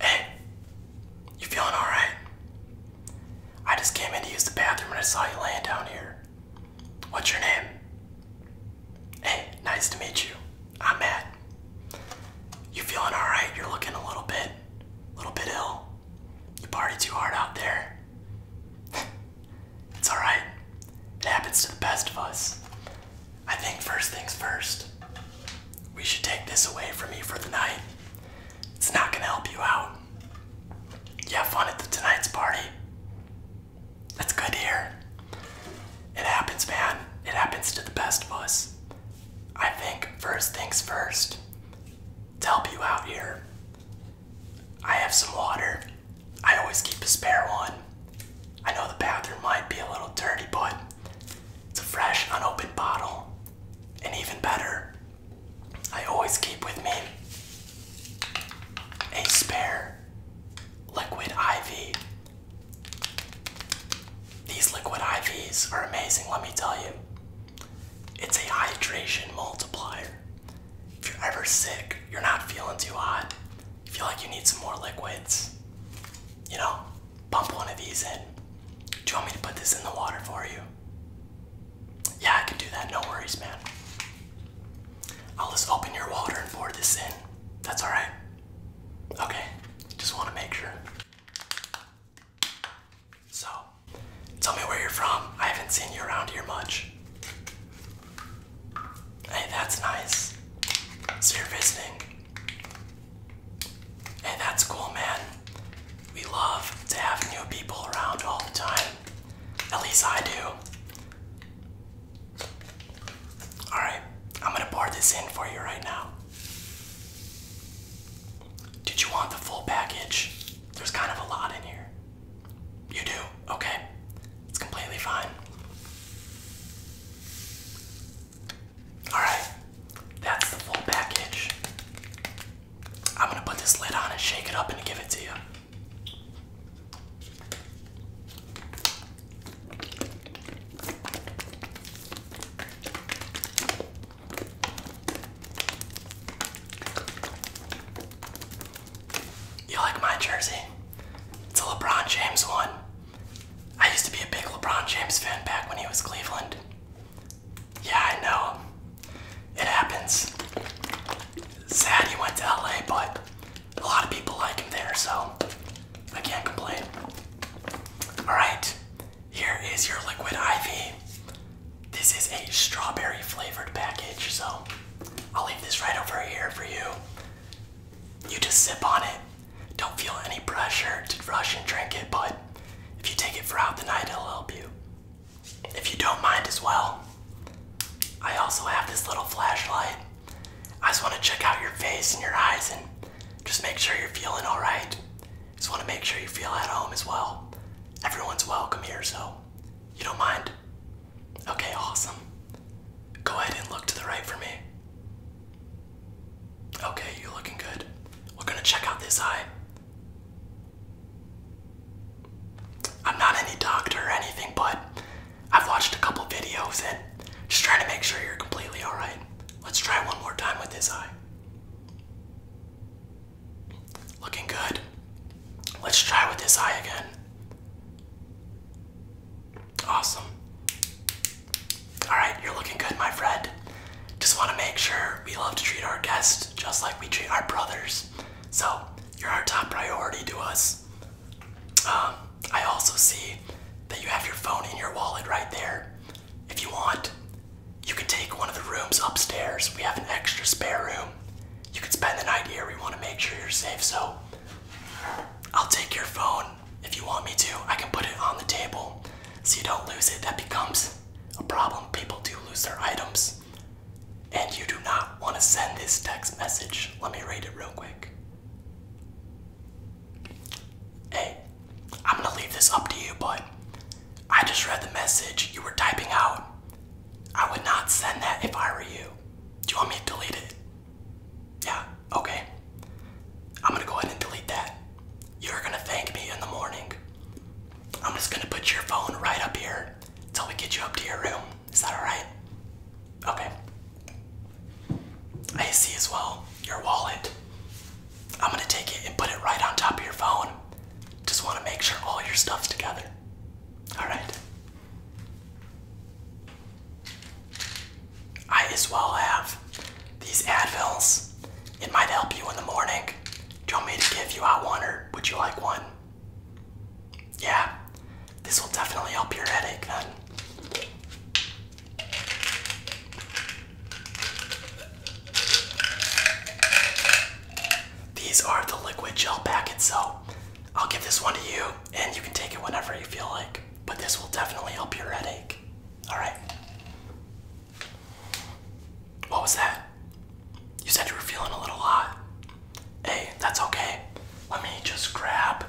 Hey, you feeling alright? I just came in to use the bathroom and I saw you laying down here. What's your name? Hey, nice to meet you. I'm Matt. You feeling alright? You're looking a little bit, a little bit ill. You party too hard out there. it's alright. It happens to the best of us. I think first things first, we should take this away from you for the night. It's not gonna help you out. You have fun at the tonight's party. That's good to It happens, man. It happens to the best of us. I think first things first, to help you out here, I have some water I always keep a spare one. I know the bathroom might be a little dirty, but it's a fresh, unopened bottle. And even better, I always keep with me a spare liquid IV. These liquid IVs are amazing, let me tell you. It's a hydration multiplier. If you're ever sick, you're not feeling too hot, you feel like you need some more liquids, you know, pump one of these in. Do you want me to put this in the water for you? Yeah, I can do that. No worries, man. I'll just open your water and pour this in. That's alright. Okay, just want to make sure. So, tell me where you're from. I haven't seen you around here much. Hey, that's nice. So you're visiting. Hey, that's cool, man. We love to have new people around all the time. At least I do. Alright, I'm gonna board this in for you right now. Did you want the full package? There's kind of a lot in here. You do? Okay. It's completely fine. Alright, that's the full package. I'm gonna put this lid on and shake it up and give it to you. You like my jersey? It's a LeBron James one. I used to be a big LeBron James fan back when he was Cleveland. Yeah, I know. It happens. Sad he went to LA, but a lot of people like him there, so I can't complain. Alright, here is your liquid IV. This is a strawberry flavored package, so I'll leave this right over here for you. You just sip on it. Don't feel any pressure to rush and drink it, but if you take it throughout the night, it'll help you. If you don't mind as well, I also have this little flashlight. I just want to check out your face and your eyes and just make sure you're feeling alright. Just want to make sure you feel at home as well. Everyone's welcome here, so you don't mind? Okay, awesome. Go ahead and look to the right for me. Okay, you're looking good. We're gonna check out this eye. I'm not any doctor or anything, but I've watched a couple videos and just trying to make sure you're completely alright. Let's try one more time with this eye. Looking good. Let's try with this eye again. Awesome. Alright, you're looking good, my friend. Just want to make sure we love to treat our guests just like we treat our brothers. So, you're our top priority to us. Um, I also see that you have your phone in your wallet right there. If you want, you could take one of the rooms upstairs. We have an extra spare room. You could spend the night here. We want to make sure you're safe, so I'll take your phone if you want me to. I can put it on the table so you don't lose it. That becomes a problem. People do lose their items. And you do not want to send this text message. Let me read it real quick. Hey, am gonna leave this up to you, but I just read the message you were typing out. I would not send that if I were you. Do you want me to delete it? Yeah, okay. I'm gonna go ahead and delete that. You're gonna thank me in the morning. I'm just gonna put your phone right up here until we get you up to your room. Is that alright? Okay. I see as well your wallet. I'm gonna take it and put it right on top of your phone. Just wanna make sure all your stuff's together. Alright? I as well have these Advils. It might help you in the morning. Do you want me to give you out one or would you like one? Yeah, this will definitely help your headache then. These are the liquid gel packets, so I'll give this one to you and you can take it whenever you feel like. But this will definitely help your headache. Alright. What was that? You said you were feeling a little hot. Hey, that's okay. Let me just grab.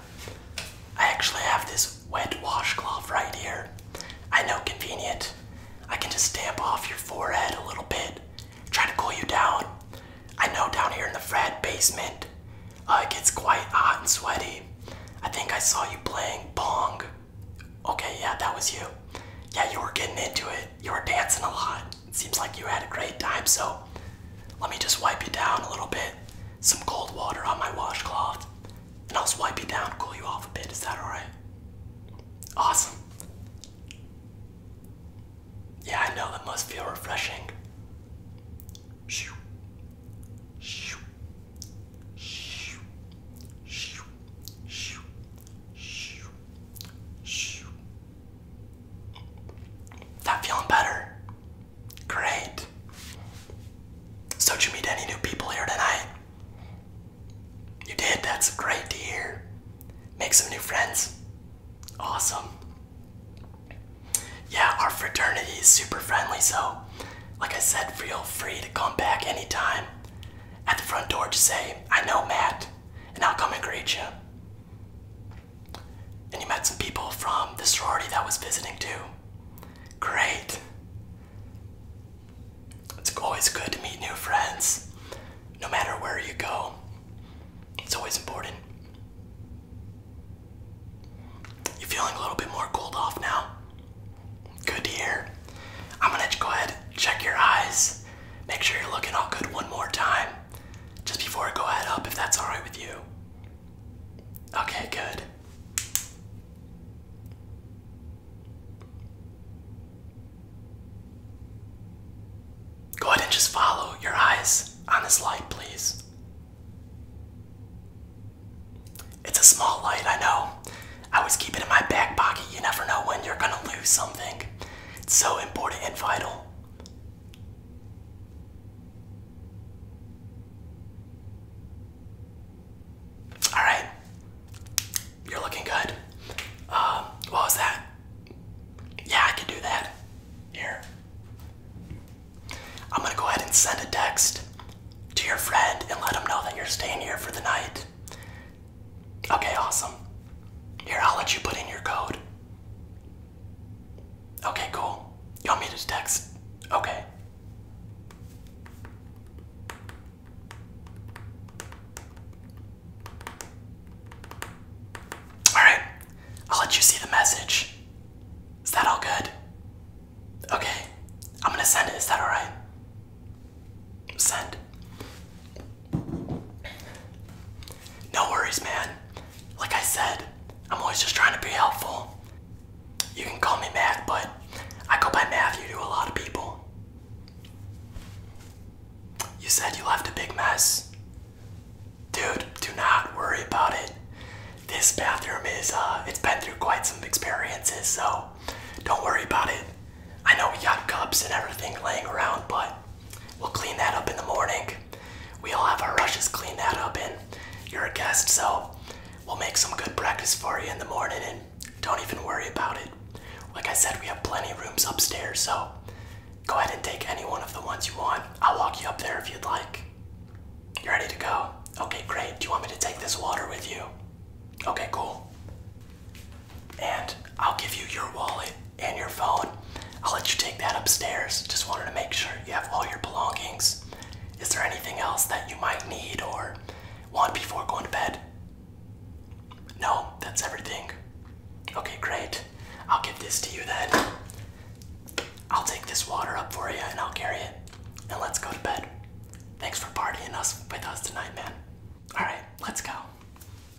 I actually have this wet washcloth right here. I know, convenient. I can just damp off your forehead a little bit, try to cool you down. I know down here in the frat basement, uh, it gets quite hot and sweaty. I think I saw you playing bong. Okay, yeah, that was you. Yeah, you were getting into it. You were dancing a lot. seems like you had a great time, so let me just wipe you down a little bit. Some cold water on my washcloth. And I'll swipe you down, cool you off a bit. Is that alright? Awesome. Yeah, I know that must feel refreshing. Shoo. Shoo. Shoo. Shoo. Shoo. Shoo. Shoo. That feeling better. Great. So, did you meet any new people here tonight? You did? That's great to hear. Make some new friends. Awesome. Yeah, our fraternity is super friendly, so, like I said, feel free to come back anytime. At the front door, just say, I know Matt, and I'll come and greet you. And you met some people from the sorority that was visiting too. Great. It's always good to meet new friends, no matter where you go. It's always important. You feeling a little bit more cooled off now? Good to hear. I'm gonna go ahead, check your eyes, make sure you're looking all good one more time, just before I go ahead up, if that's alright with you. Okay, good. Go ahead and just follow your eyes on this light, please. It's a small light, I know. I always keep it in my back pocket. You never know when you're gonna lose something. It's so important and vital. All right, you're looking good. Um, what was that? Yeah, I can do that. Here, I'm gonna go ahead and send a text to your friend and let him know that you're staying here for the night. Okay, awesome. Here, I'll let you put in your code. Okay, cool. You want me to text? Okay. Alright, I'll let you see the message. Is that all good? Okay, I'm gonna send it. Is that alright? Send. No worries, man. Like I said, I'm always just trying to be helpful. You can call me Matt, but I go by Matthew to a lot of people. You said you left a big mess. Dude, do not worry about it. This bathroom is, uh, it's been through quite some experiences, so don't worry about it. I know we got cups and everything laying around, but we'll clean that up in the morning. We all have our rushes, clean that up, and you're a guest, so we'll make some good breakfast for you in the morning and don't even worry about it. Like I said, we have plenty of rooms upstairs, so go ahead and take any one of the ones you want. I'll walk you up there if you'd like. You ready to go? Okay, great. Do you want me to take this water with you? Okay, cool. And I'll give you your wallet and your phone. I'll let you take that upstairs. Just wanted to make sure you have all your belongings. Is there anything else that you might need or want before going to bed? No, that's everything. Okay, great. I'll give this to you then. I'll take this water up for you and I'll carry it. And let's go to bed. Thanks for partying us with us tonight, man. Alright, let's go.